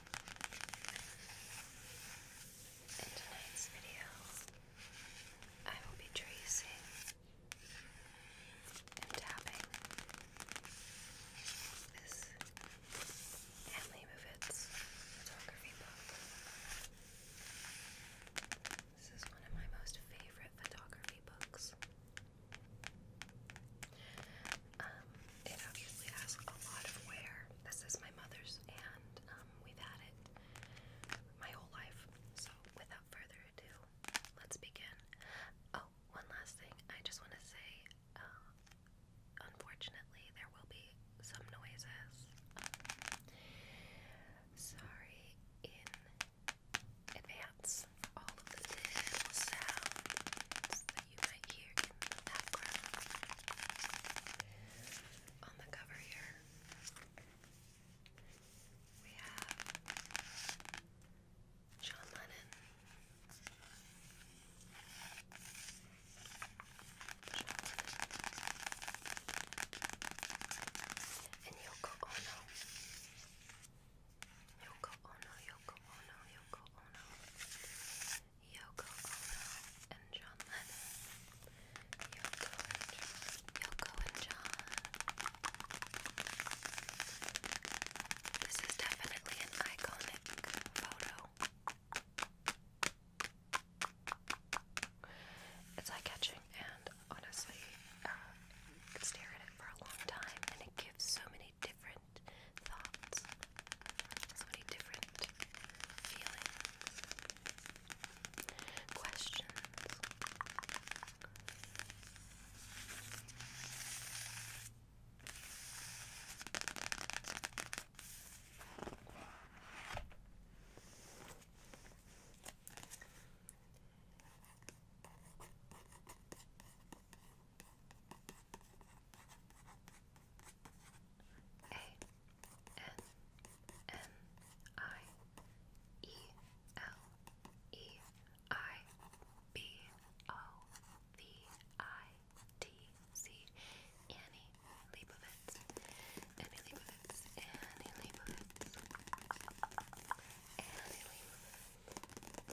In tonight's video, I will be tracing and tapping this Hanley Movitz photography book. This is one of my most favorite photography books. Um, it obviously has a lot of wear. This is my mother's, and um, we've had it my whole life. So, without further ado, let's begin. Oh, one last thing. I just want to say, uh, unfortunately, there will be some noises. sorry in advance all of the little sounds that you might hear background. On the cover here, we have John Lennon. John Lennon. And Yoko Ono. Yoko Ono, Yoko Ono, Yoko Ono, Yoko Ono, and John Lennon. Yoko Yoko and John. This is definitely an iconic photo. It's eye catching, and honestly, uh, stare at it for a long time, and it gives so many many different thoughts, so many different feelings, questions. A N N I E L E I B O V I T C Annie Leibovitz. Annie Leibovitz. Annie Leibovitz. Annie Leibovitz.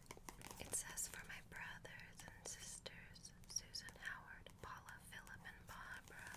It says for my brothers and sisters Susan Howard, Paula, Philip, and Barbara.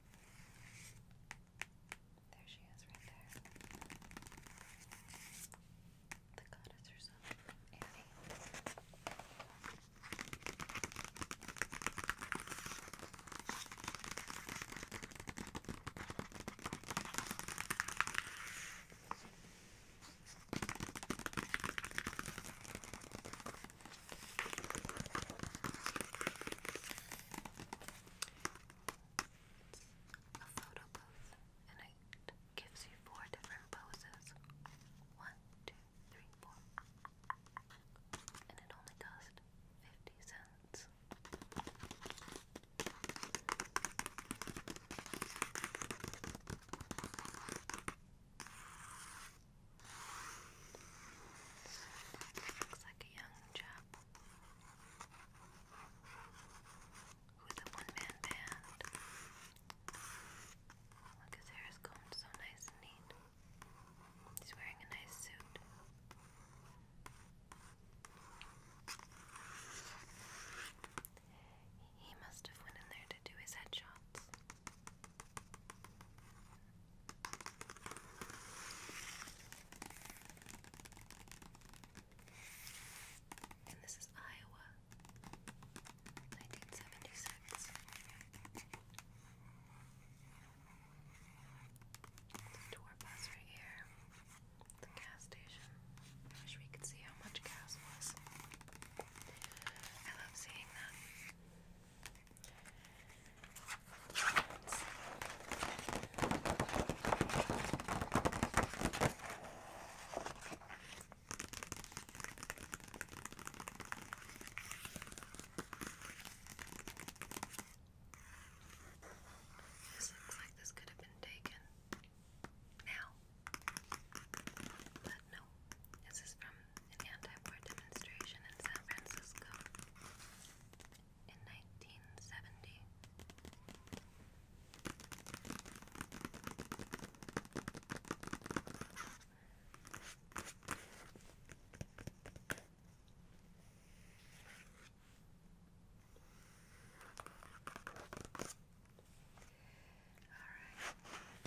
There she is, right there. The goddess herself, Annie. It's a photo pose, and it gives you four different poses. One, two, three, four. And it only cost 50 cents. Looks like a young chap with a one-man band. Look, his hair is combed so nice and neat. He's wearing a nice suit. He must have went in there to do his headshots. And this is Iowa, 1976. The tour bus right here. The gas station. I wish we could see how much gas was. I love seeing that. This looks like this could have been taken now, but no, this is from an anti-war demonstration in San Francisco in 1970. All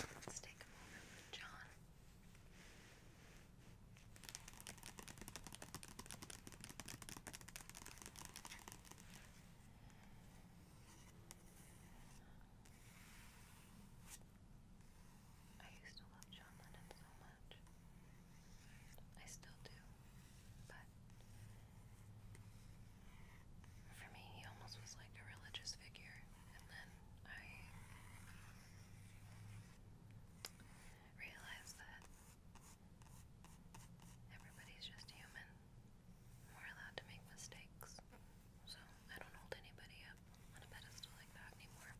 right, let's take a moment John. I used to love John Lennon so much. I still do. But for me, he almost was like a religious figure. And then I realize that everybody's just human. We're allowed to make mistakes. So I don't hold anybody up on a pedestal like that anymore.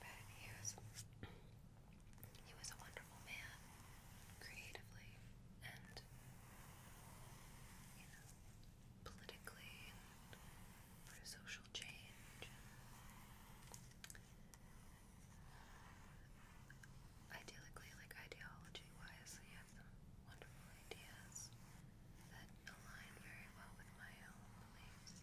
But he was he was a wonderful man, creatively and you know, politically for social change. Ideally, like ideology-wise, he had some wonderful ideas that align very well with my own beliefs.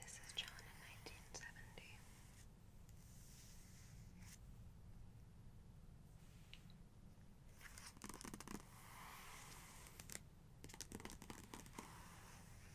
This is John in nineteen seventy.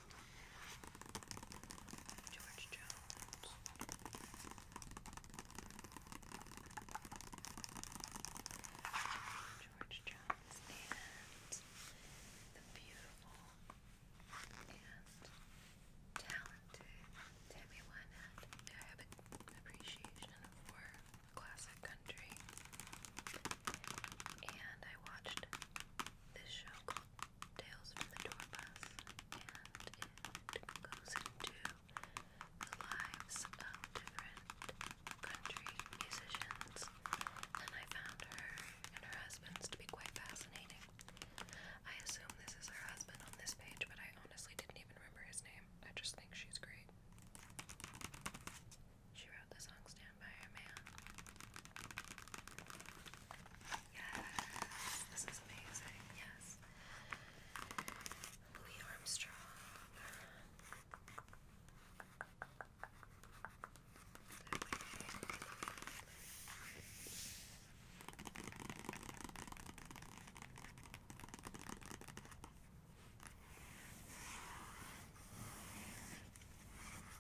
George Jones. George Jones and the beautiful and talented Tammy Wynette. I have an appreciation for classic country, and I watched this show called Tales from the Tour and it goes into the lives of different country musicians. And I found her and her husband's to be quite fascinating. I assume this is her husband on this page, but I honestly didn't even remember his name. I just think she's great. She wrote the song Stand By Your Man. Yes, this is amazing. Yes. Louis Armstrong.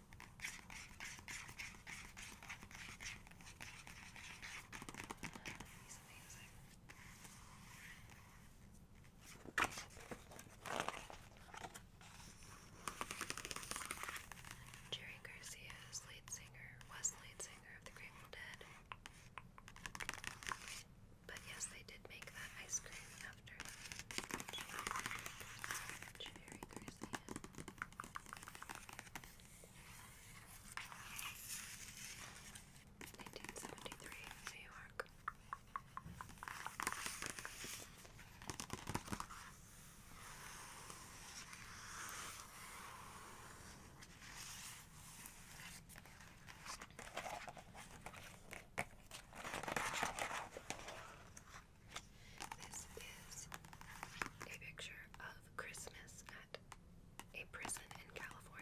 He's amazing. Jerry Garcia's lead singer lead singer of the Grateful Dead. But yes, they did make that ice cream after that. Cherry Garcia. Nineteen seventy three, New York. This is a picture of Christmas at a prison in California.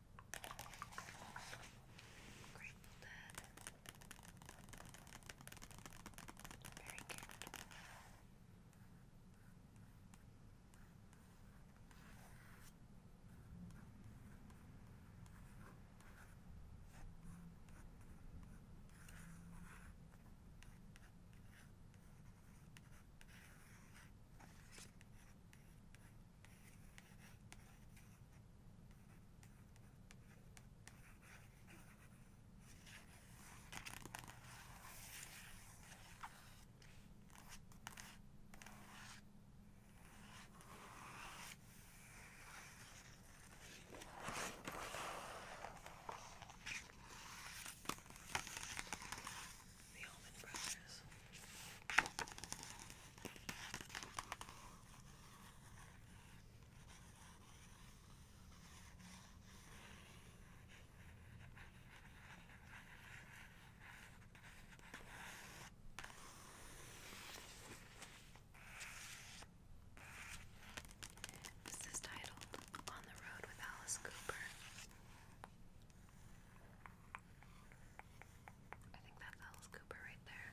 Grateful Dead. Very cute. Very the Almond Brothers. This is titled On the Road with Alice Cooper. I think that's Alice Cooper right there.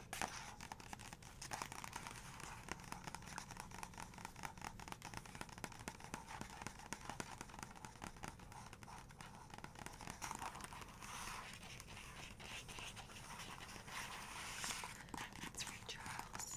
That's Ray Charles. Ray Charles.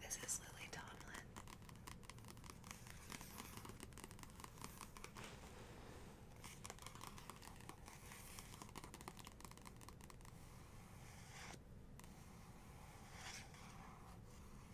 This is Lily Tomlin.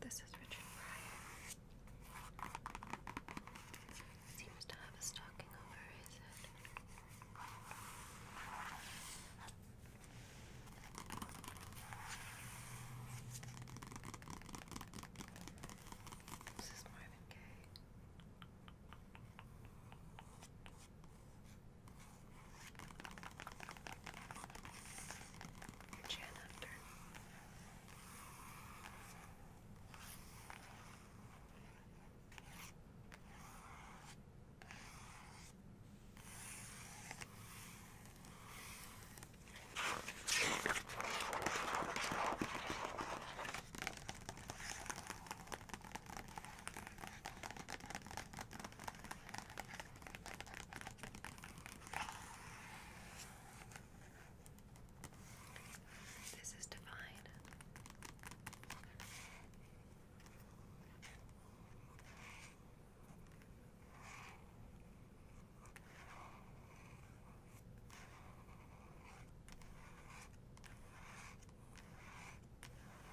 This is Richard Pryor. Seems to have a stocking over his head. This is Marvin Gaye. Your chin after. This is divine. This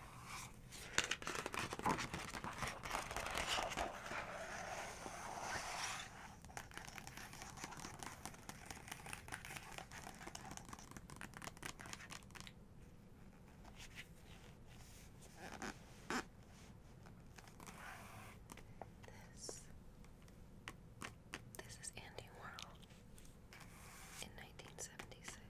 this is Andy Warhol in nineteen seventy six.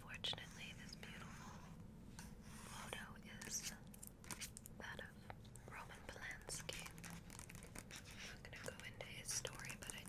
Unfortunately, this beautiful photo is that of Roman Polanski. I'm going to go into his story, but I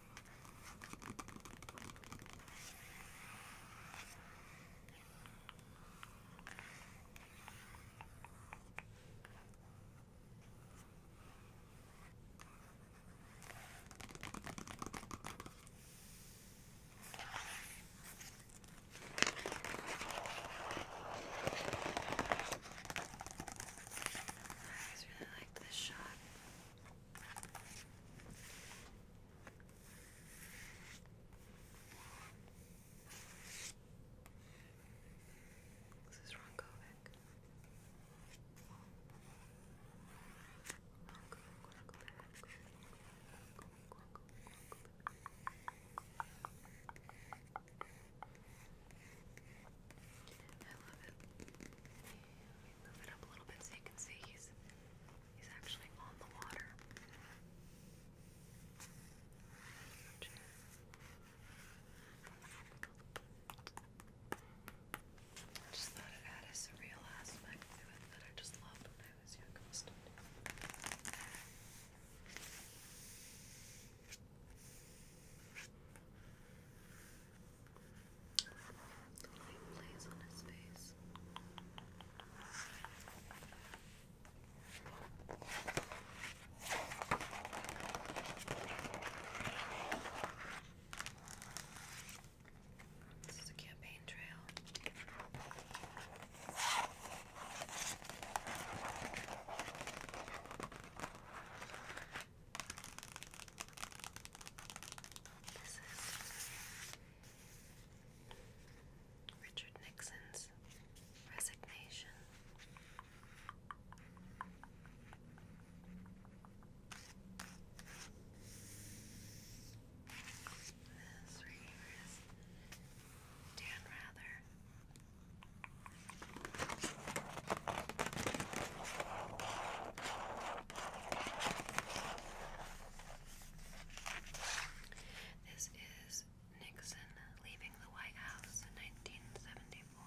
I always really like this shot. This is Ron Kovic. Ron Kovic, Ron Kovic, Ron Kovic, Ron Kovic, Ron Kovic, Ron Kovic. I love it move it up a little bit so you can see he's he's actually on the water. just thought it had a surreal aspect to it I just loved when I was young on his face. This is a campaign trail. This is Richard Nixon's resignation. This right here is Dan Rather. This is Nixon leaving the White House in 1974.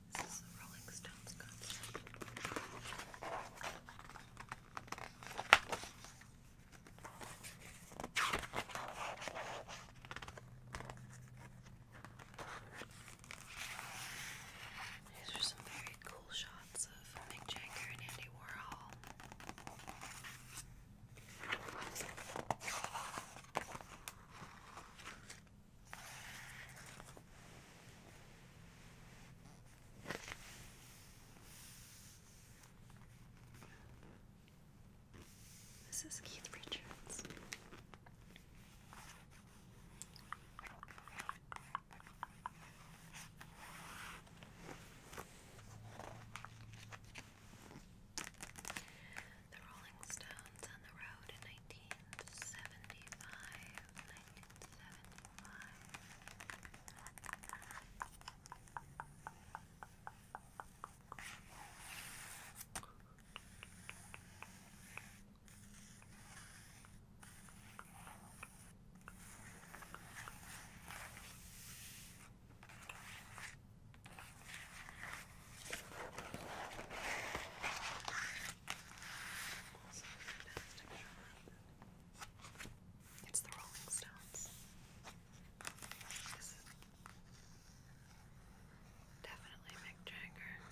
This is the Rolling Stones concert. These are some very cool shots of Mick Jagger and Andy Warhol. This is Keith Richards. The Rolling Stones on the road 1975, 1975. Also a It's the Rolling Stones. definitely Mick Jagger.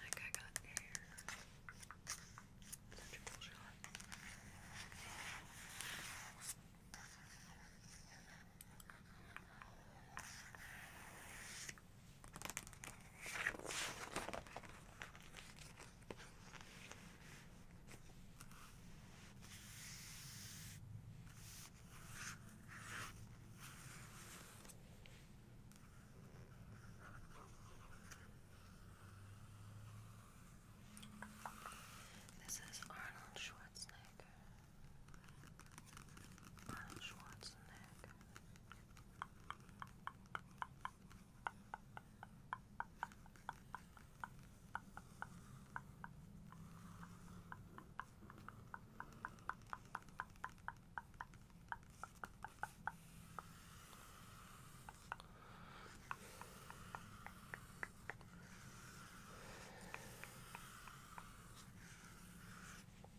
Like I got here. Such a cool shot. This is Arnold Schwarzenegger. Arnold Schwarzenegger.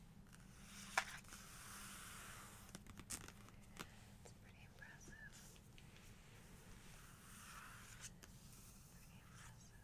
It's pretty impressive. Pretty impressive. Let's see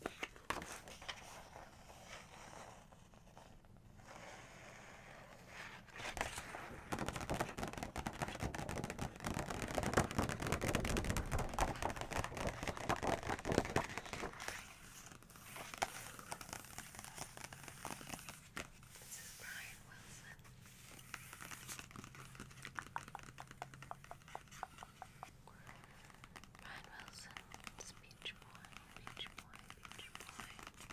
This is Brian Wilson. Ryan Wilson, it's Beach Boy, Beach Boy, Beach Boy. Beach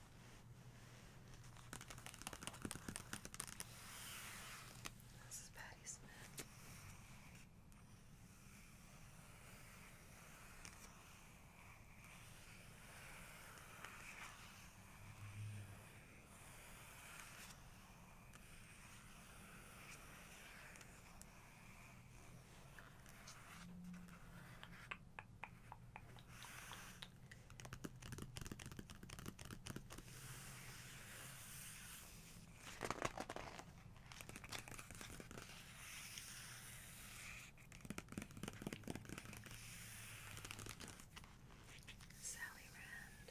This is Patty Smith. Sally Rand.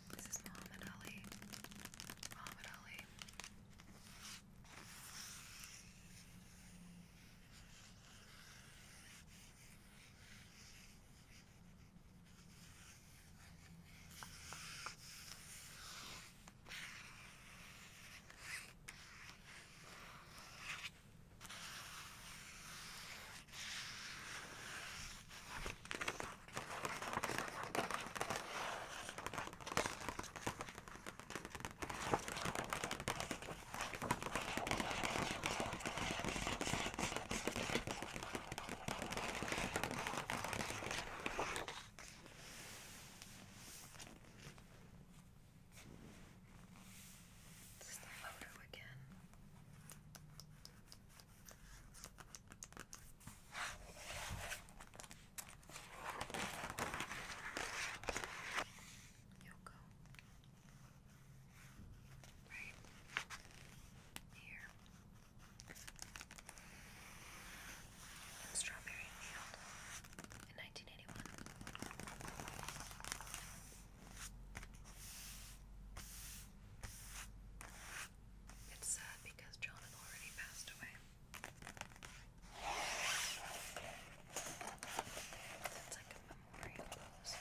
This is Muhammad Ali. Muhammad Ali. This is the photo again. Yoko. Right here. And Strawberry Field in 1981. It's sad because John had already passed away. It's like a memorial pose.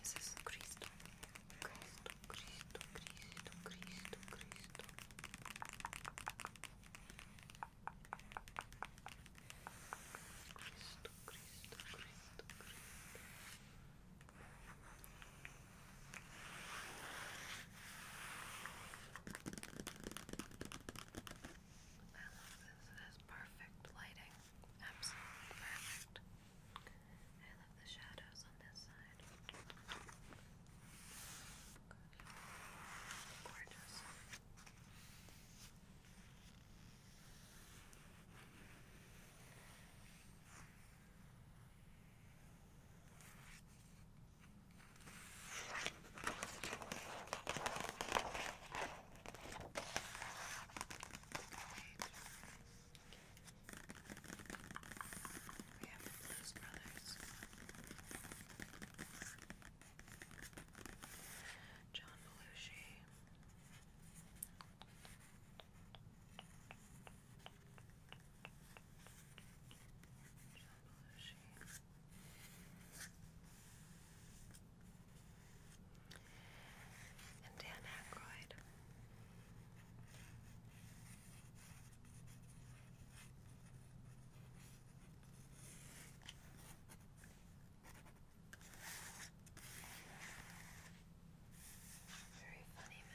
This is Cristo. Cristo, Cristo, Cristo, Cristo, Cristo, Cristo, Cristo, Cristo. I love this. It has perfect lighting. Absolutely perfect. I love the shadows on this side. Good. Gorgeous. We have the Blues Brothers. John Belushi. John Belushi. And Dan Aykroyd. Very funny man.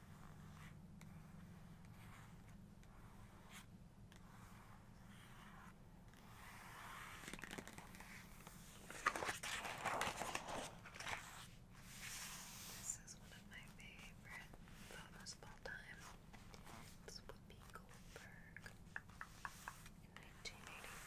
This is one of my favorite photos of all time. It's Whoopi Goldberg in 1984.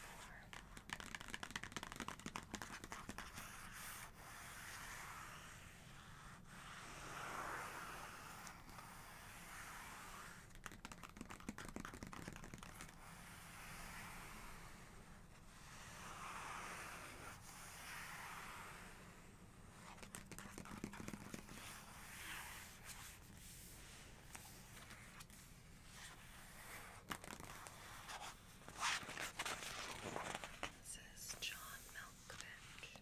This is John Malkovich.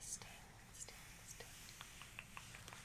Sting, sting, sting. Okay.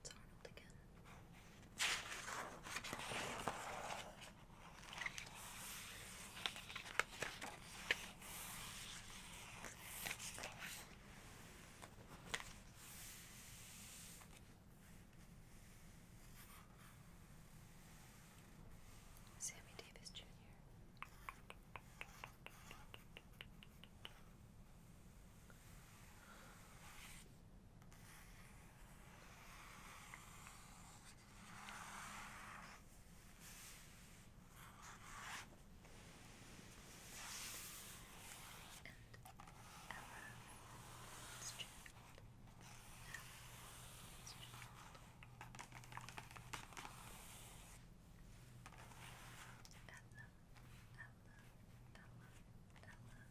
It's Arnold again. Sammy Davis Jr. Ella, Ella, Ella,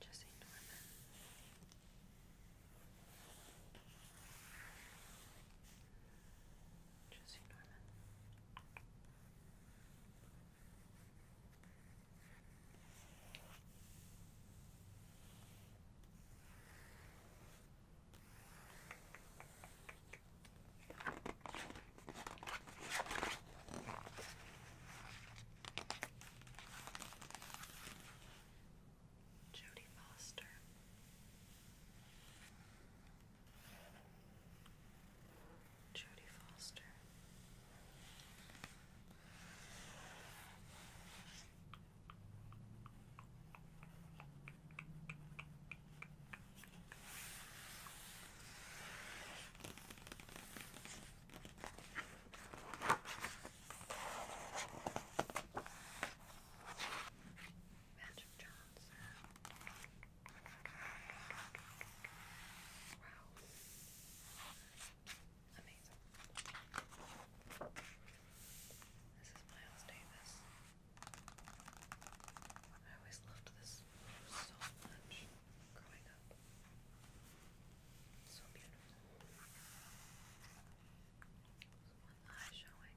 Just ignore them. Just ignore them. Just ignore them. Jodie Foster. Jodie Foster. Magic Johnson. Wow. Amazing. This is Miles Davis. I always loved this so much growing up. So beautiful. There's one eye showing.